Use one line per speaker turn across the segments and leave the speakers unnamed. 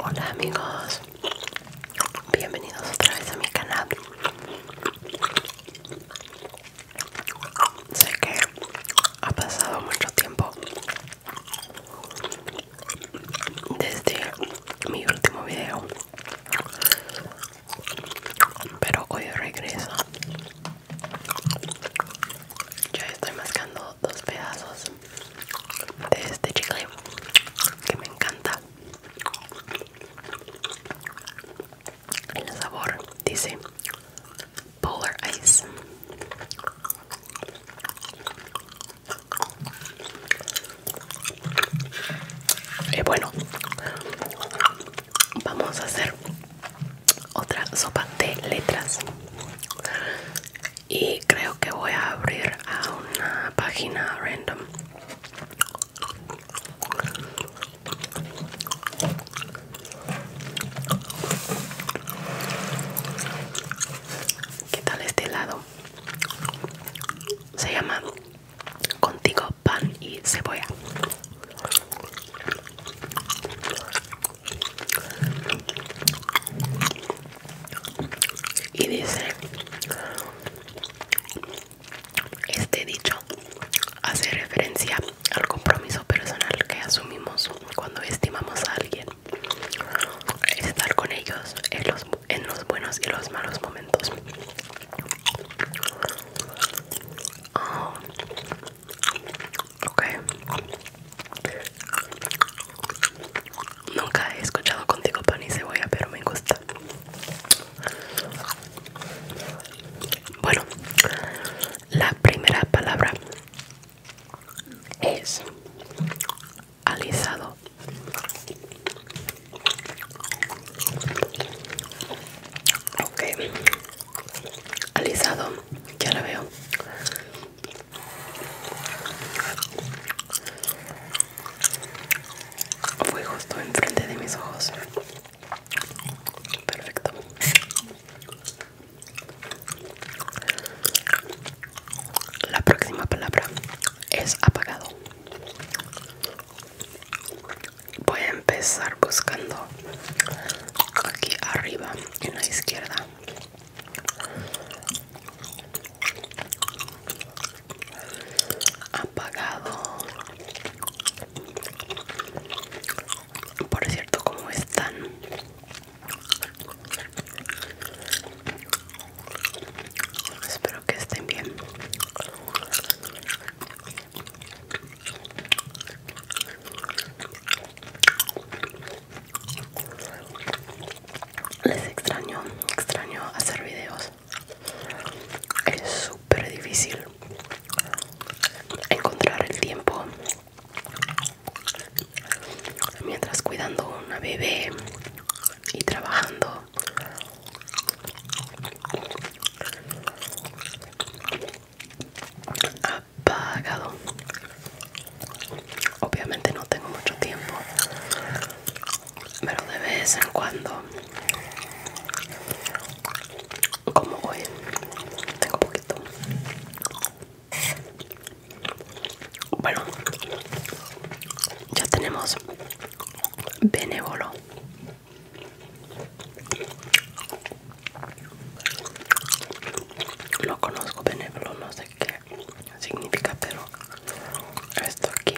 Hola amigos, bienvenidos otra vez a mi canal. Sé que ha pasado mucho tiempo desde mi último video, pero hoy regreso ya estoy mascando dos pedazos de este chicle que me encanta. El sabor dice Polar Ice. y eh, bueno, vamos a hacer otra sopa de letras y creo que voy a abrir a una página random ¿Qué tal este lado Se llama Contigo pan y cebolla y dice este dicho hace referencia al compromiso personal que asumimos cuando estimamos a alguien. Estar con ellos en los, buenos y los malos momentos. Ah. Ok. Nunca he escuchado contigo pan y cebolla, pero me gusta. Bueno, la primera palabra es alisado. Ok alisado ya la veo fue justo enfrente de mis ojos perfecto la próxima palabra es apagado voy a empezar buscando aquí arriba en la izquierda apagado por cierto como están espero que estén bien les extraño, extraño hacer videos. Es súper difícil encontrar el tiempo mientras cuidando una bebé y trabajando pagado obviamente no tengo mucho tiempo pero de vez en cuando como voy tengo poquito bueno ya tenemos benévolo lo conozco benévolo, no sé qué significa, pero esto aquí.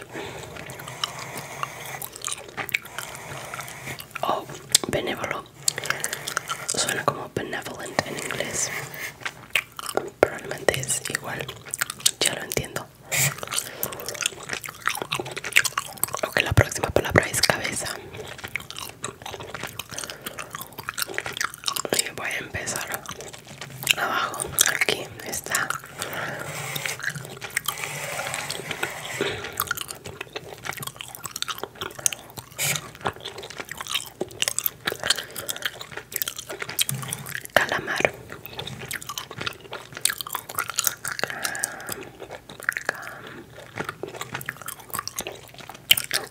Oh, benévolo. Suena como benevolent en inglés. Probablemente es igual. Ya lo entiendo. Ok, la próxima palabra es cabeza y voy a empezar abajo aquí está calamar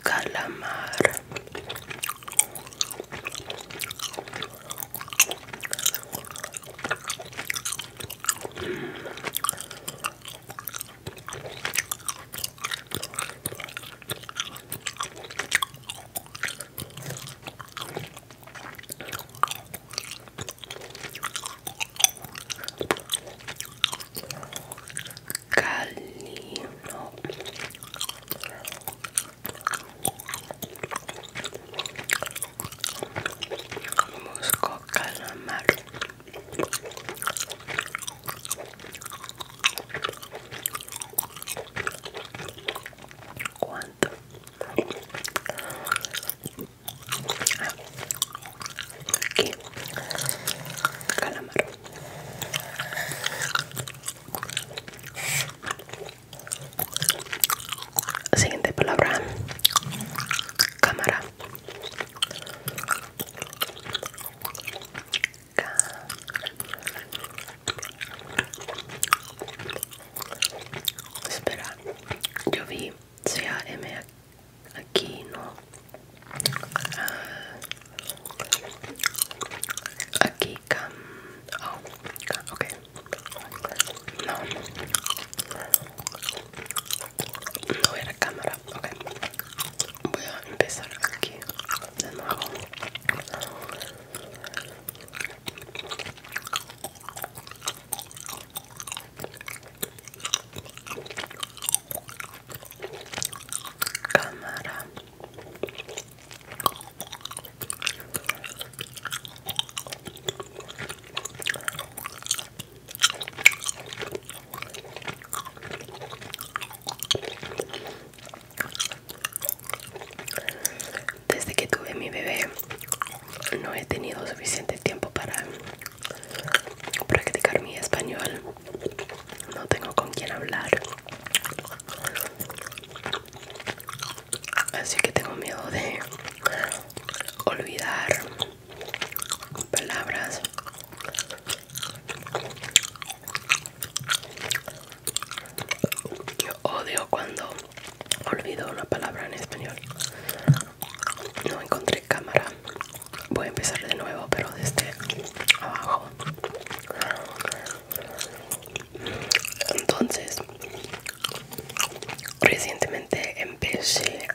calamar Cali, no. Musco calamar. ¿Cuánto? Ah. Aquí. Calamar. Siguiente palabra. Cámara. Espera, yo vi C-A-M aquí no aquí cam oh ok no no era cámara ok voy a empezar aquí de nuevo cámara desde que tuve mi bebé no he tenido suficiente tiempo para practicar mi español. No tengo con quién hablar. Así que tengo miedo de olvidar palabras. Yo odio cuando olvido una palabra en español no encontré cámara voy a empezar de nuevo pero desde abajo entonces recientemente empecé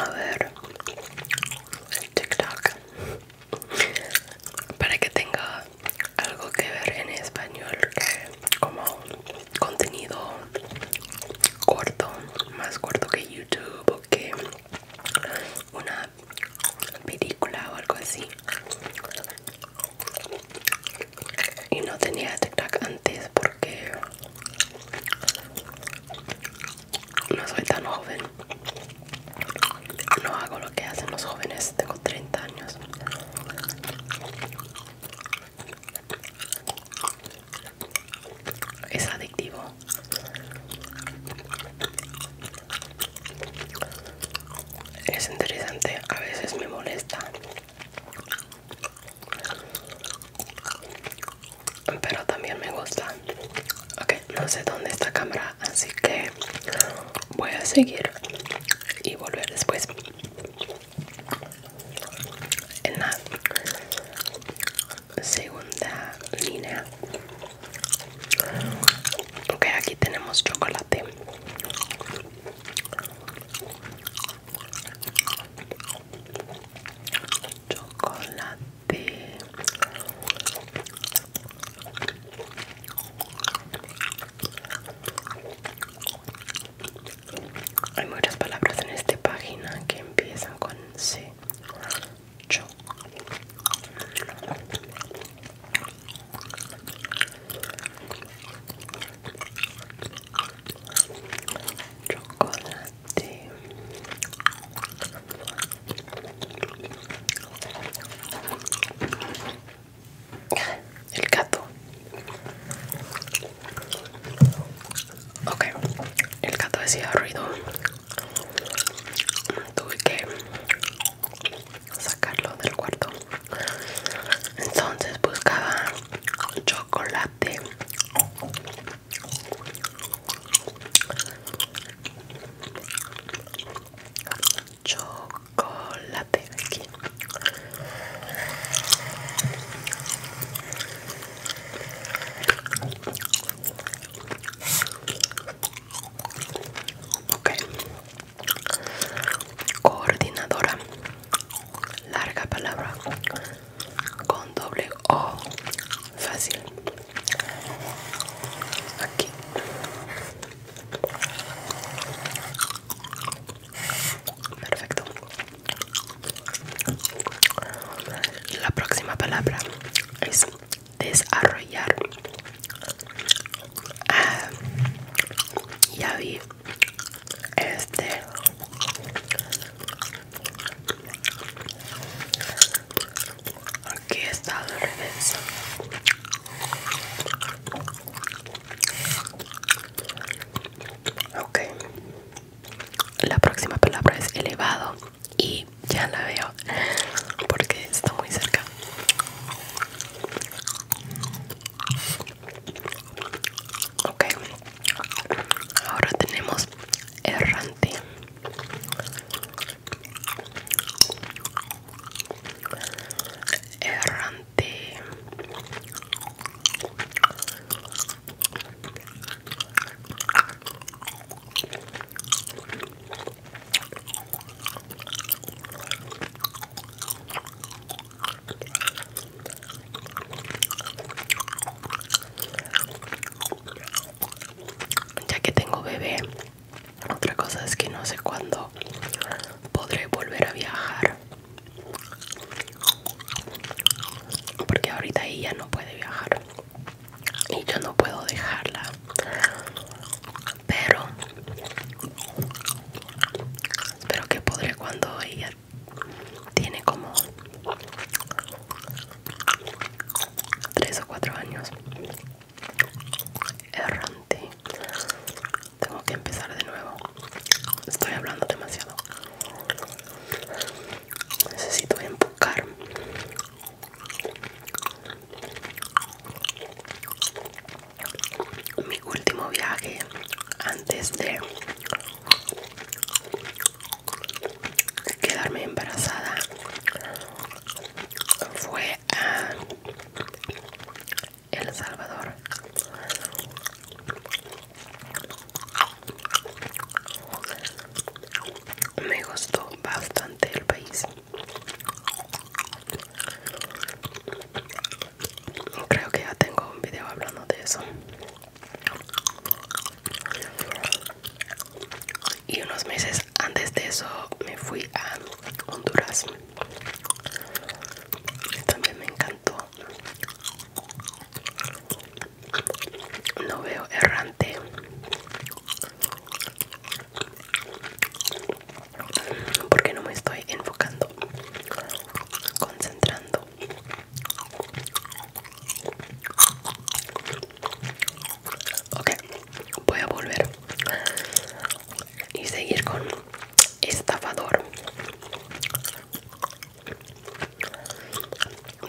a ver TikTok para que tenga algo que ver en español que como contenido corto más corto que YouTube que una película o algo así y no tenía TikTok antes porque no soy tan joven no hago lo que hacen los jóvenes tengo 30 años es adictivo es interesante a veces me molesta pero también me gusta ok no sé dónde está cámara así que voy a seguir y volver después en nada segunda línea ok aquí tenemos chocolate chocolate hay muchas palabras en esta página que empiezan con C chocolate. Ah, el gato. Ok, el gato decía ruido. Tuve que sacarlo del cuarto. Entonces buscaba chocolate. Chocolate aquí. Ok. Coordinadora. Larga palabra. Con doble O. Fácil. Aquí. Perfecto. La próxima palabra es desarrollar. Ah, ya vi. Este. Aquí está al revés. Ok, la próxima palabra es elevado y ya la veo porque está muy cerca. Ok, ahora tenemos errante. Errante. Ya que tengo bebé, otra cosa es que no sé cuándo podré volver a viajar. Porque ahorita ella no puede viajar y yo no puedo dejarla pero espero que podré cuando ella tiene como tres o cuatro años errante tengo que empezar de nuevo estoy hablando demasiado necesito empujar mi último viaje antes de quedarme embarazada fue a El Salvador me gustó bastante el país. Creo que ya tengo un video hablando de eso. Y unos meses antes de eso me fui a Honduras. También me encantó no veo errante. Porque no me estoy enfocando, concentrando. Ok, voy a volver y seguir con estafador.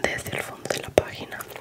Desde el fondo de la página.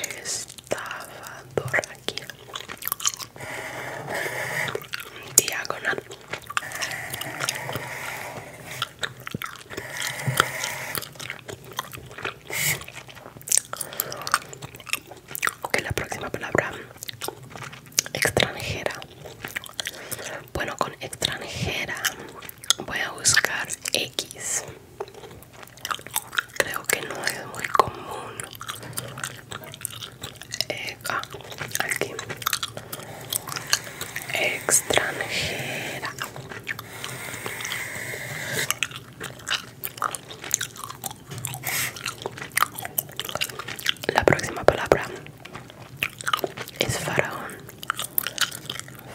Estaba estafador diagonal ok la próxima palabra extranjera bueno, con extranjera voy a buscar X. Creo que no es muy común. Eh, ah, aquí. Extranjera. La próxima palabra es faraón.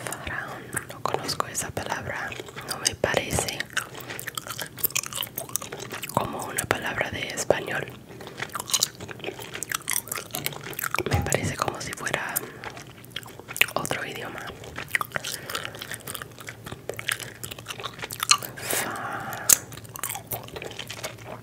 Faraón, no conozco esa palabra, no me parece como una palabra de español. Me parece como si fuera otro idioma.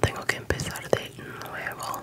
tengo que empezar de nuevo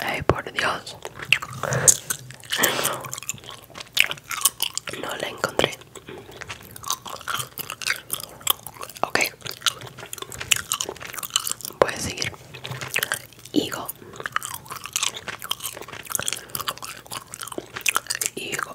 Ay, por Dios. No la encontré. Ok. Voy a seguir. Higo. Higo.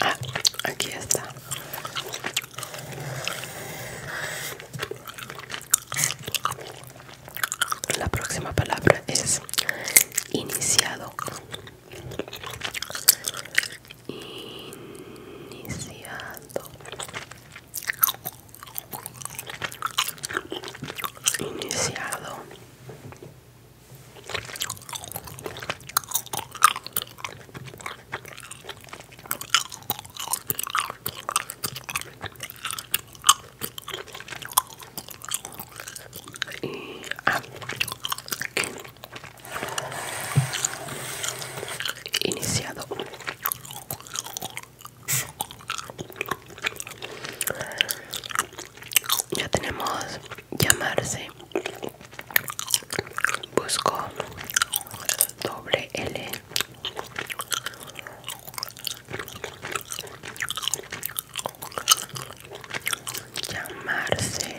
Ah, aquí está. La próxima palabra es iniciado. Iniciado iniciado iniciado ya tenemos llamarse. Busco doble L. Llamarse.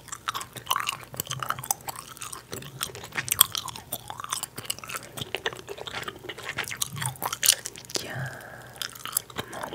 Ya. No. L,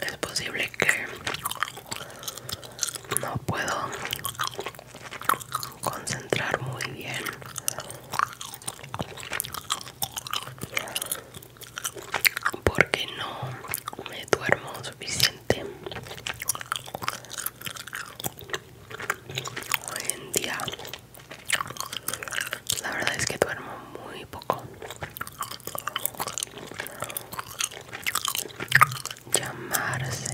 es posible que no puedo concentrar muy bien porque no me duermo suficiente hoy en día la verdad es que duermo muy poco llamarse ah.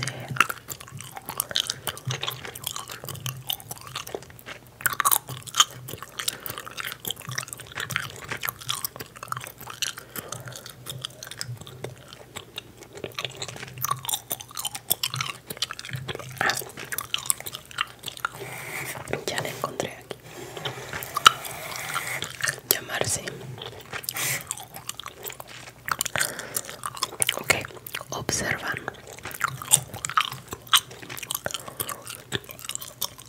ya le encontré aquí llamarse ok observan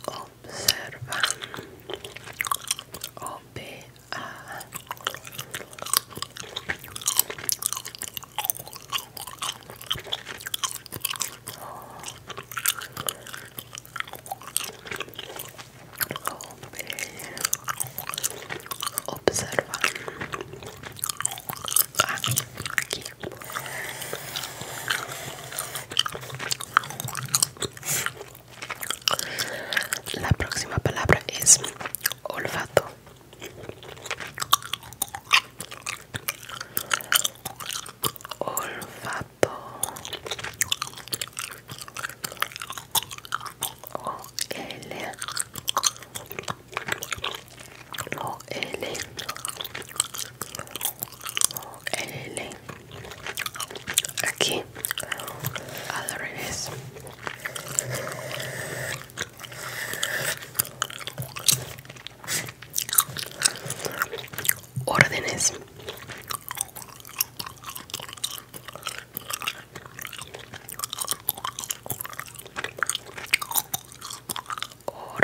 observan o a Observa aquí, La próxima palabra es olfato. Olfato. O L. O L. O L. Aquí. Al revés. Órdenes órdenes o r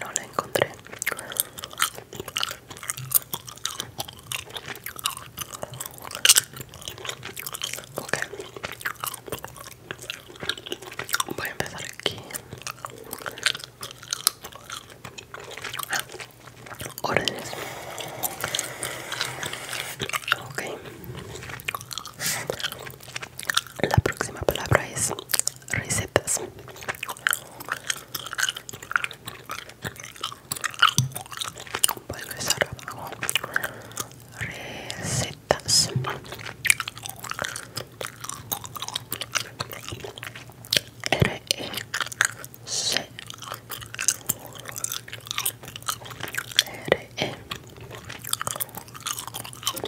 no la encontré ok voy a empezar aquí ah, órdenes la próxima palabra es recetas. Voy a empezar Recetas.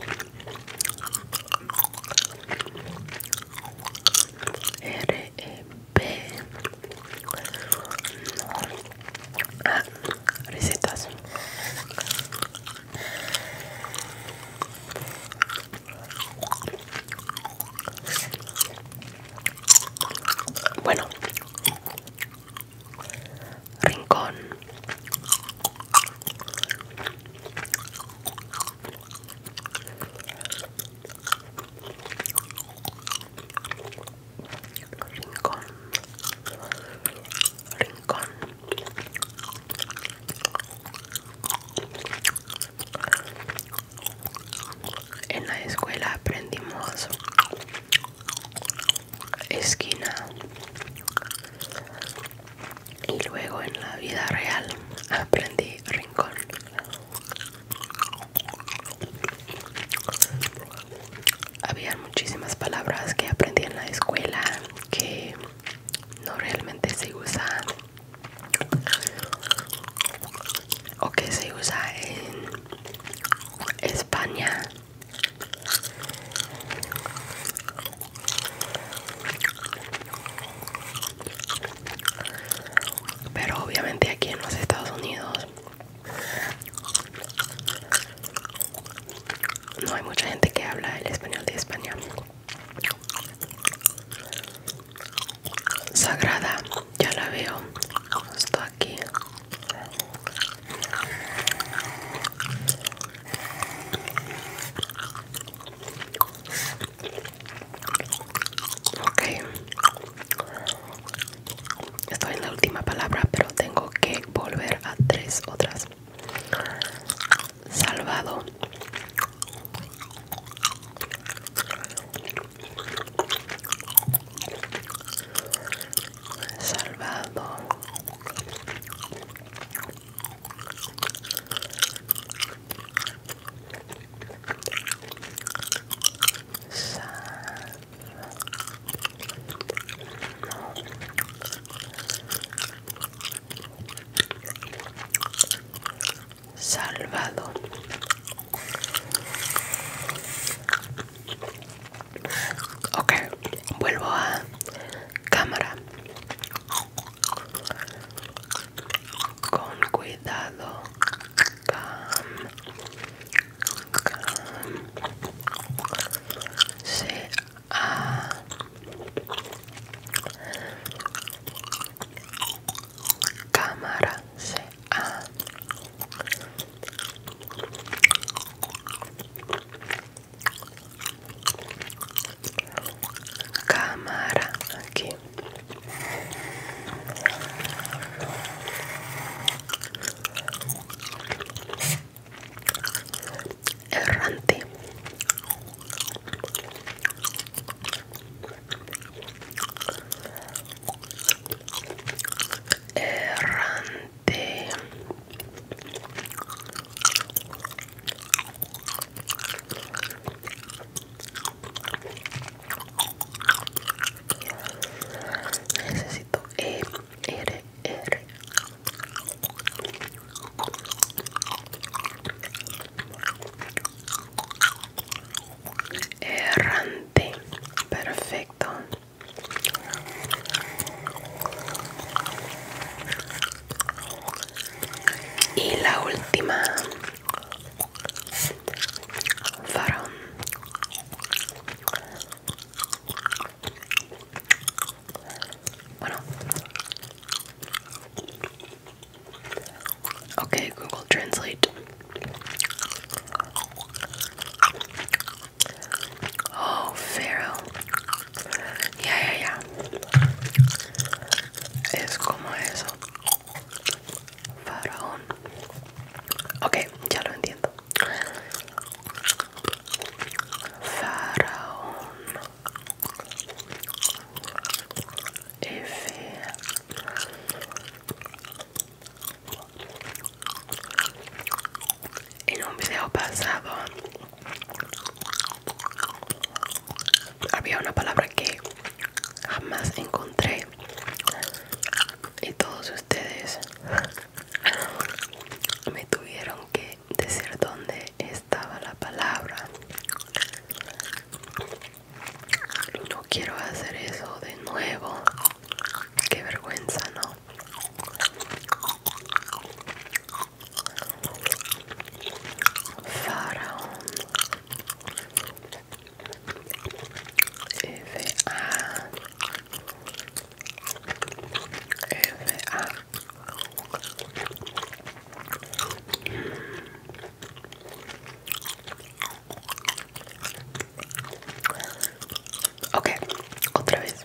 E R E recetas bueno rincón. Rincón. Rincón. En la escuela aprendimos esquina y luego en la vida real aprendí rincón había muchísimas palabras que aprendí en la escuela que no realmente se usan o que se usa en España pero obviamente aquí en los Estados Unidos no hay mucha gente que habla el español de España. Sagrada, ya la veo está aquí. Okay, estoy en la última palabra, pero tengo que volver a tres otras. Salvado. Salvado. Salvado. Ok, vuelvo a cámara. Con cuidado. cámara C cámara aquí errante errante de necesito e r r errante perfecto y la última, farón. Bueno. Okay, Google Translate. Oh, Pharaoh. Ya, ya, ya. Es como eso. Faraón. Okay, ya lo entiendo. Faraón en un video pasado había una palabra que jamás encontré y todos ustedes me tuvieron que decir dónde estaba la palabra no quiero hacer eso de nuevo qué vergüenza no Faraón F.A. A Okay, otra vez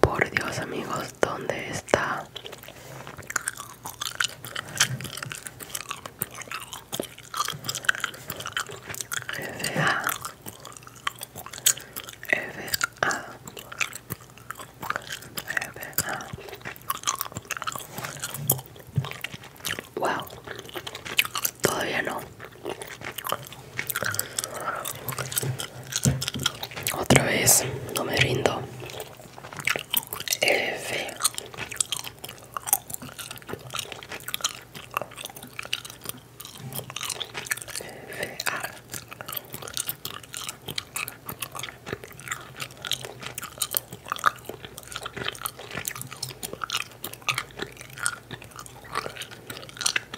Por Dios amigos, ¿dónde está? F A Wow, todavía no. Otra vez, no me rindo.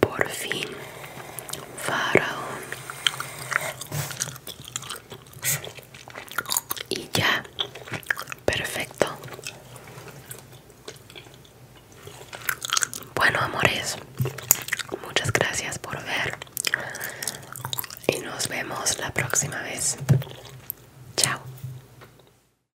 Por fin, Faraón. Y ya, perfecto. Bueno, amores, muchas gracias por ver. Y nos vemos la próxima vez. Chao.